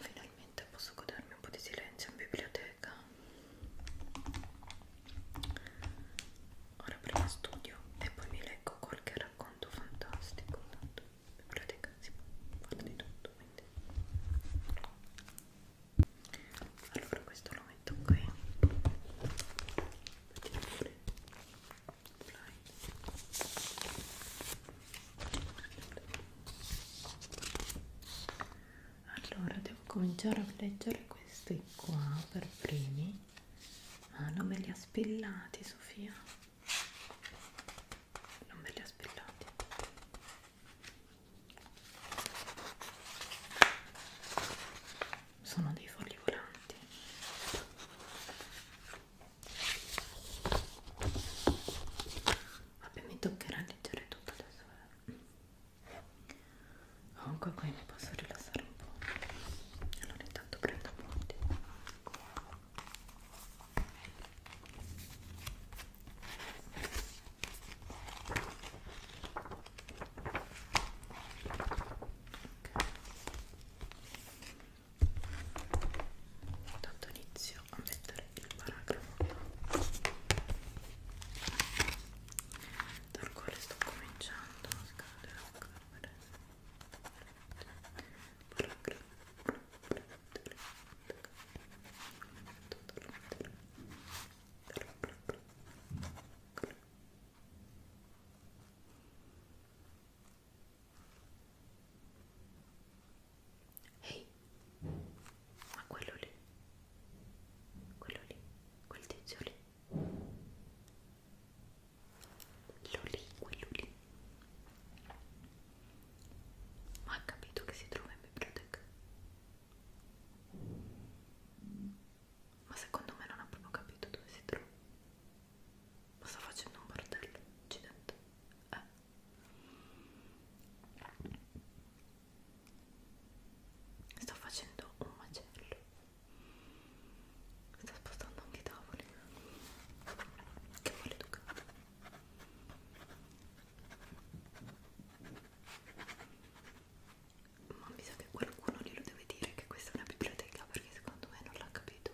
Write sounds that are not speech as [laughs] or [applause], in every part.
Finalmente posso godermi un po' di silenzio in biblioteca. Ora prima studio e poi mi leggo qualche racconto fantastico. Tanto in pratica si può fare di tutto quindi allora questo lo metto qui mettiamo pure allora devo cominciare a leggere questi qua per primi ah non me li ha spillati Sofia non ve li ho spillati sono dei fogli volanti vabbè mi toccherà leggere tutto adesso eh. comunque qui mi posso rilassare un po' allora intanto prendo appunti Intanto inizio a mettere il paragrafo dal quale sto cominciando a scaldare la camera Ehi, ma quello lì, quello lì, quel tizio lì Loli, Loli. Ma ha capito che si trova in biblioteca? Ma secondo me non ha proprio capito dove si trova. Ma sta facendo un bordello, accidente. Eh. Sto facendo un macello sta spostando anche i tavoli che vuole tu ma mi sa che qualcuno glielo deve dire che questa è una biblioteca perché secondo me non l'ha capito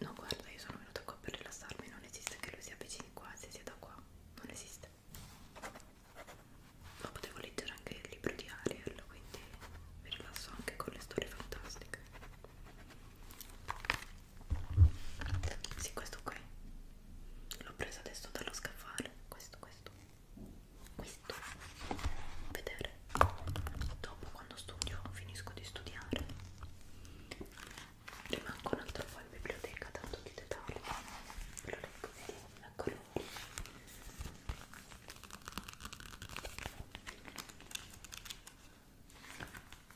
no guarda io sono venuta qua per rilassarmi non esiste che lui si avvicini qua se sia da qua non esiste ma potevo leggere anche il libro di Ariel quindi mi rilasso anche con le storie fantastiche sì questo qui l'ho preso adesso dallo scaffale questo questo questo vedere dopo quando studio finisco di studiare rimango un altro po' in biblioteca tanto di dettaglio ve lo leggo eccolo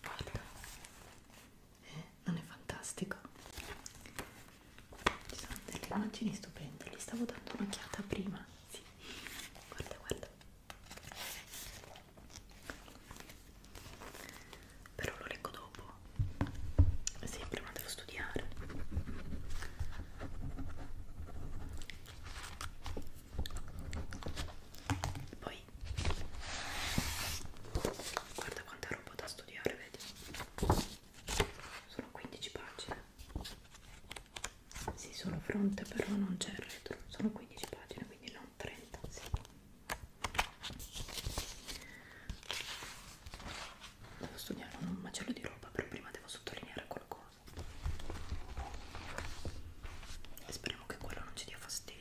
guarda eh, non è fantastico ci sono delle immagini stupende li stavo dando un'occhiata prima sì. guarda guarda però lo leggo dopo sì, prima devo studiare. Poi guarda quanta roba da studiare, vedi? Sono 15 pagine. Sì, sono fronte, però non c'è il retro. Sono 15 pagine, quindi non 30. Sì devo studiare un macello di roba però prima devo sottolineare qualcosa e speriamo che quello non ci dia fastidio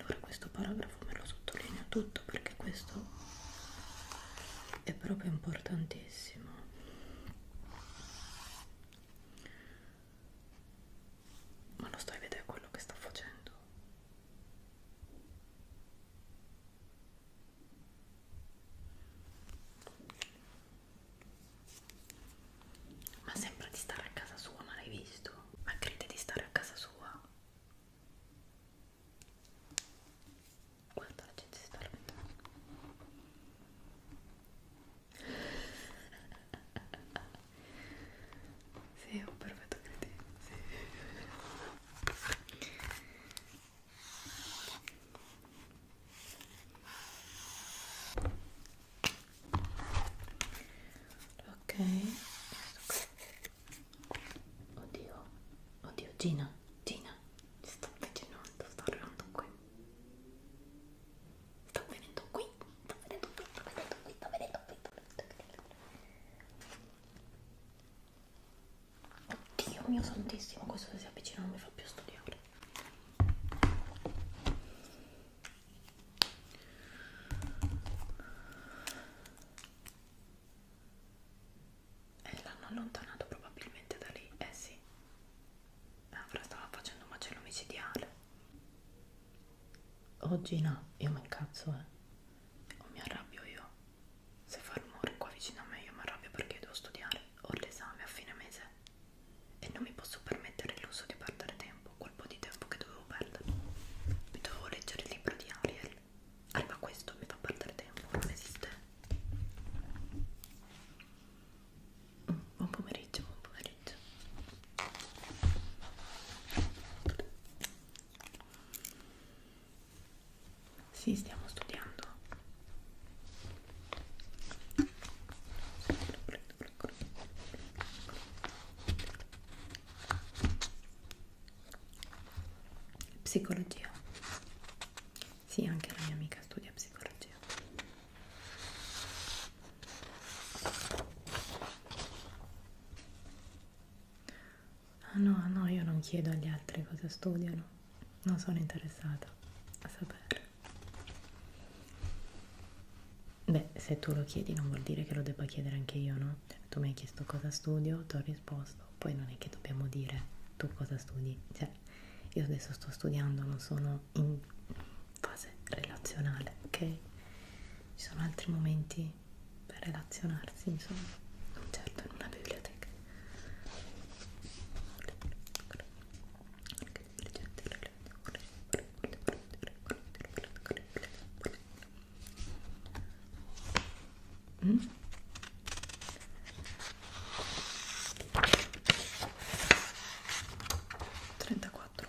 Allora questo paragrafo me lo sottolineo tutto perché questo è proprio importantissimo ma lo stai vedendo quello che sta facendo? Ma sembra di stare a casa sua, ma l'hai visto? Ma crede di stare a casa sua? Guarda la gente si sta lamentando [laughs] Sì, un perfetto cretino, sì. Ok, oddio, oddio, Gina, Gina, mi sto avvicinando, sto arrivando qui sto vedendo qui sto vedendo qui sto vedendo qui sto vedendo qui sto vedendo qui oddio mio santissimo questo se si avvicina non mi fa più studiare e eh, l'hanno allontanato probabilmente da lì, eh sì avrà stava facendo un macello micidiale oggi no io mi incazzo eh o mi arrabbio io se fa rumore qua vicino a me io mi arrabbio perché devo studiare ho l'esame a fine mese e non mi posso permettere l'uso di perdere tempo quel po' di tempo che dovevo perdere mi dovevo leggere il libro di Ariel arriva questo mi fa perdere tempo non esiste Buon pomeriggio, buon pomeriggio. Sì, stiamo studiando. Psicologia. Sì, anche la mia amica studia psicologia. Ah no, no, io non chiedo agli altri cosa studiano, non sono interessata a sapere. Beh, se tu lo chiedi non vuol dire che lo debba chiedere anche io, no? Tu mi hai chiesto cosa studio, ti ho risposto, poi non è che dobbiamo dire tu cosa studi, cioè fase io adesso sto studiando non sono in fase relazionale ok ci sono altri momenti per relazionarsi insomma non certo in una biblioteca Mm? 34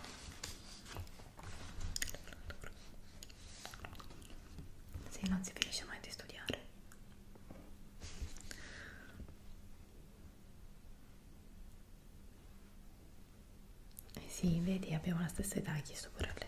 sì, non si finisce mai di studiare eh sì, vedi, abbiamo la stessa età, hai chiesto pure a lei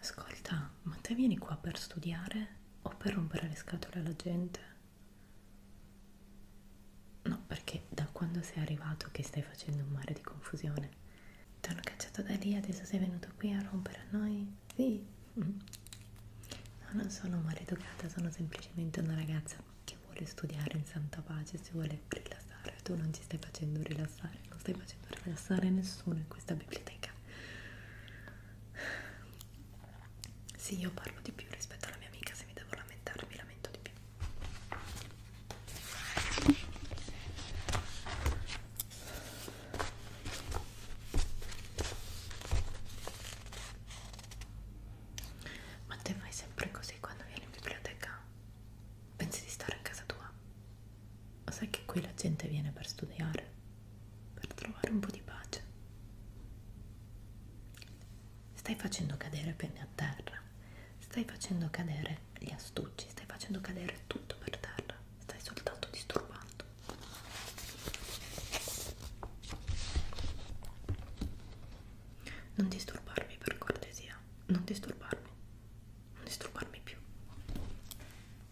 Ascolta, ma te vieni qua per studiare o per rompere le scatole alla gente? No, perché da quando sei arrivato che stai facendo un mare di confusione? Ti hanno cacciato da lì, adesso sei venuto qui a rompere a noi? Sì. Mm. No, non sono maleducata, sono semplicemente una ragazza che vuole studiare in santa pace, si vuole rilassare. Tu non ci stai facendo rilassare, non stai facendo rilassare nessuno in questa biblioteca. Sì, io parlo di più rispetto alla mia amica, se mi devo lamentare mi lamento di più. Ma te fai sempre così quando vieni in biblioteca? Pensi di stare a casa tua? sai che qui la gente viene per studiare, per trovare un po' di pace. Stai facendo cadere penne a terra, stai facendo cadere gli astucci, stai facendo cadere tutto per terra, stai soltanto disturbando. Non disturbarmi per cortesia, non disturbarmi, non disturbarmi più.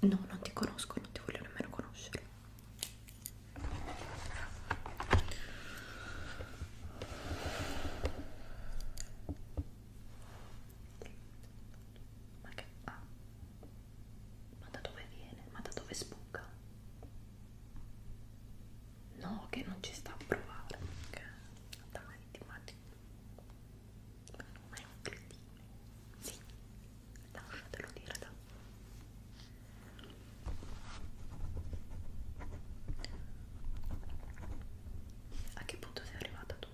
No, non ti conosco, non ti voglio nemmeno conoscere. Ma che ah. Ma da dove viene? Ma da dove sbuca? No, che non ci sta a provare. Che... Dai, ti immagini. Ma è un cretino. Sì, lasciatelo dire da a che punto sei arrivata tu?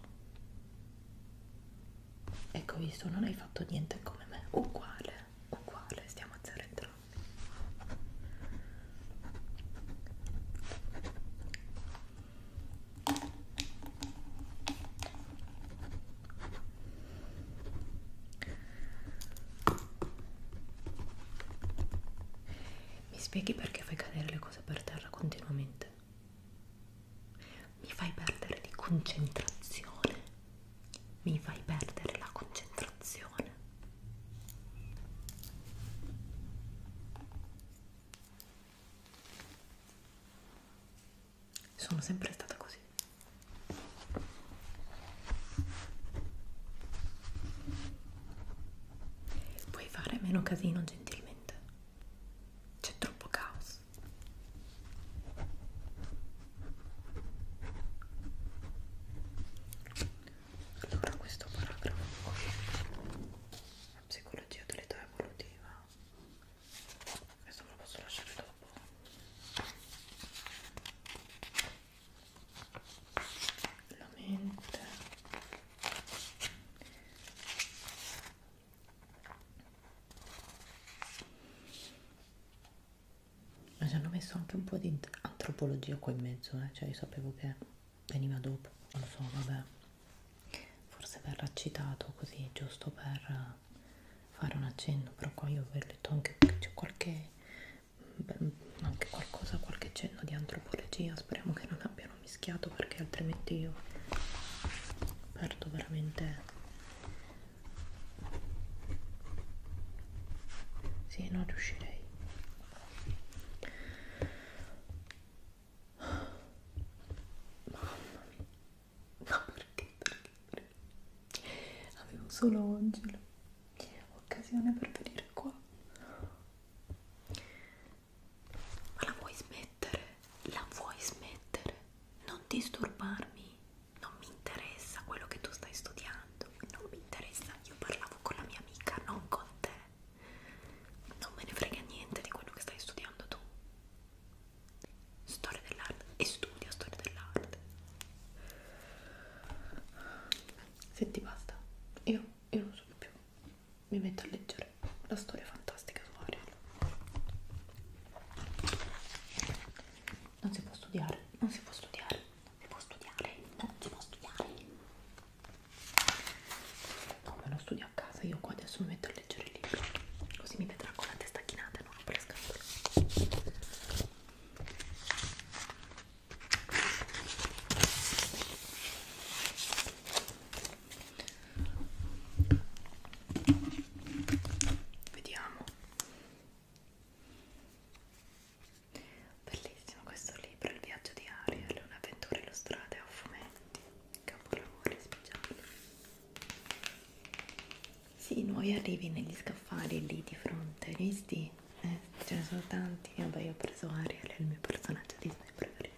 ecco visto non hai fatto niente come me uguale uguale stiamo a zero entrambi mi spieghi perché fai cadere le cose per terra continuamente? Mi fai perdere di concentrazione. Mi fai perdere la concentrazione sono sempre stata così puoi fare meno casino gentilmente c'è troppo caos allora questo paragrafo qui psicologia dell'età evolutiva questo me lo posso lasciare dopo la mente ma ci hanno messo anche un po' di antropologia qua in mezzo eh? cioè io sapevo che veniva dopo non lo so vabbè forse verrà citato così giusto per fare un accenno però qua io vi ho detto anche c'è qualche mm, anche qualcosa qualche cenno di antropologia speriamo che non abbiano mischiato perché altrimenti io perdo veramente sì non riuscirei Mamma mia, No, perché? Perché? perché? Avevo solo oggi l'occasione per venire qua. Ma la vuoi smettere? La vuoi smettere? Non disturbarmi. Non mi interessa quello che tu stai studiando. Non mi interessa. Io parlavo con la mia amica, non con te. Non me ne frega niente di quello che stai studiando tu storia dell'arte e studia storia dell'arte se ti basta io, io non so più mi metto a leggere la storia fantastica su Ariel non si può studiare non si può studiare non si può studiare non si può studiare no me lo studio a casa io qua adesso mi metto a per leggere il libro così mi vedrà con la testa chinata e non rompo le scatole vediamo bellissimo questo libro il viaggio di Ariel un'avventura illustrata a fumetti capolavoro speciale sì, nuovi arrivi negli scaffali lì di fronte, hai visti? Eh, ce ne sono tanti, vabbè io ho preso Ariel, è il mio personaggio Disney preferito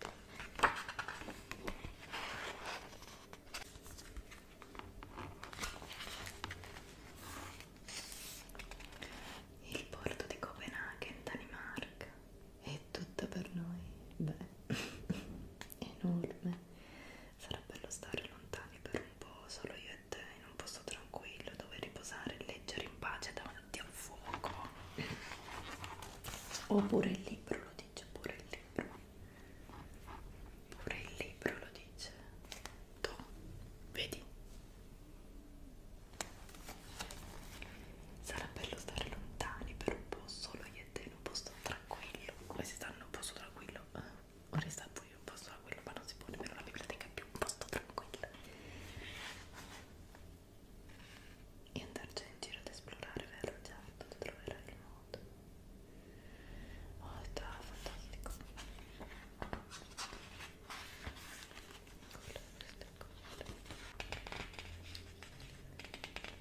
il porto di Copenaghen, Danimarca è tutta per noi beh [laughs] enorme sarà bello stare lontani per un po' solo io e te in un posto tranquillo dove riposare e leggere in pace davanti al fuoco oppure il libro lo dice pure il libro pure il libro lo dice tu vedi Sarà bello stare lontani per un po' solo io e te in un posto tranquillo come si sta in un posto tranquillo eh, ora sta pure in un posto tranquillo ma non si può nemmeno la biblioteca è più un posto tranquillo e andarci in giro ad esplorare vero certo ti troverai il modo oh è fantastico Ecco,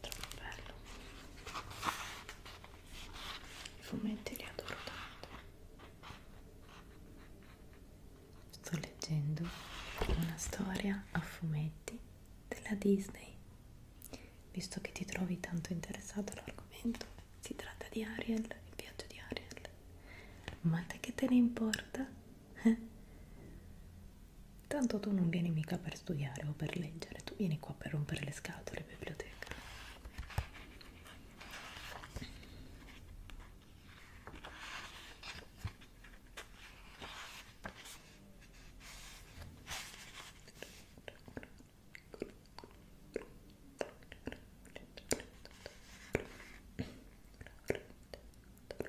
troppo bello i fumetti li adoro tanto sto leggendo una storia a fumetti della Disney visto che ti trovi tanto interessato all'argomento si tratta di Ariel il viaggio di Ariel ma te che te ne importa eh? Tanto tu non vieni mica per studiare o per leggere, tu vieni qua per rompere le scatole, biblioteca.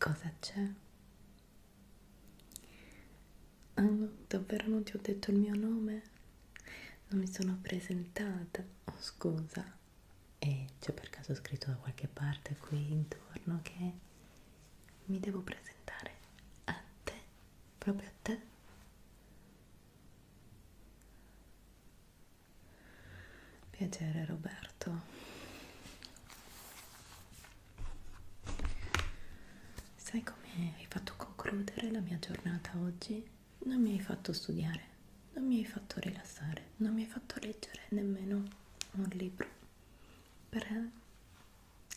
Cosa c'è? Oh, davvero non ti ho detto il mio nome? Non mi sono presentata. Oh, scusa. E eh, c'è per caso scritto da qualche parte qui intorno che mi devo presentare a te? Proprio a te? Piacere Roberto. Sai come hai fatto concludere la mia giornata oggi? Non mi hai fatto studiare, non mi hai fatto rilassare, non mi hai fatto leggere nemmeno un libro per eh,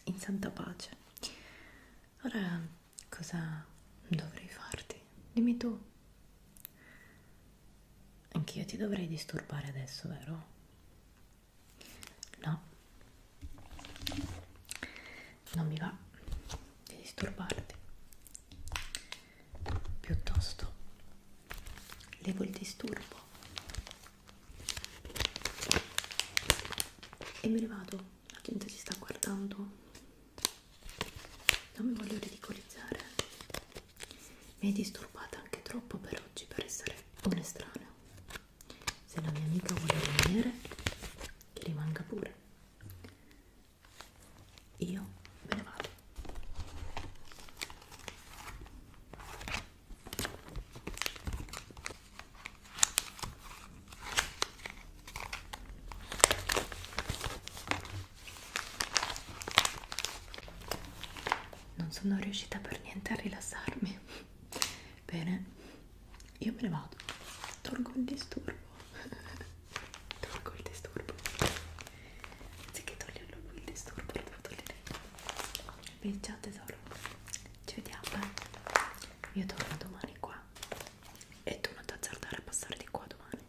in santa pace. Ora cosa dovrei farti? Dimmi tu. Anch'io ti dovrei disturbare adesso, vero? No, non mi va di disturbarti. Piuttosto levo il disturbo e me ne vado. La gente ci sta guardando. Non mi voglio ridicolizzare. Mi hai disturbata anche troppo per oggi per essere un'estranea se la mia amica vuole rimanere che rimanga pure io me ne vado non sono riuscita per niente a rilassarmi Bene, io me ne vado, tolgo il disturbo, [laughs] tolgo il disturbo, anziché toglierlo lui il disturbo, lo devo togliere. Beh, ciao tesoro, ci vediamo, eh? io torno domani qua e tu non ti azzardare a passare di qua domani.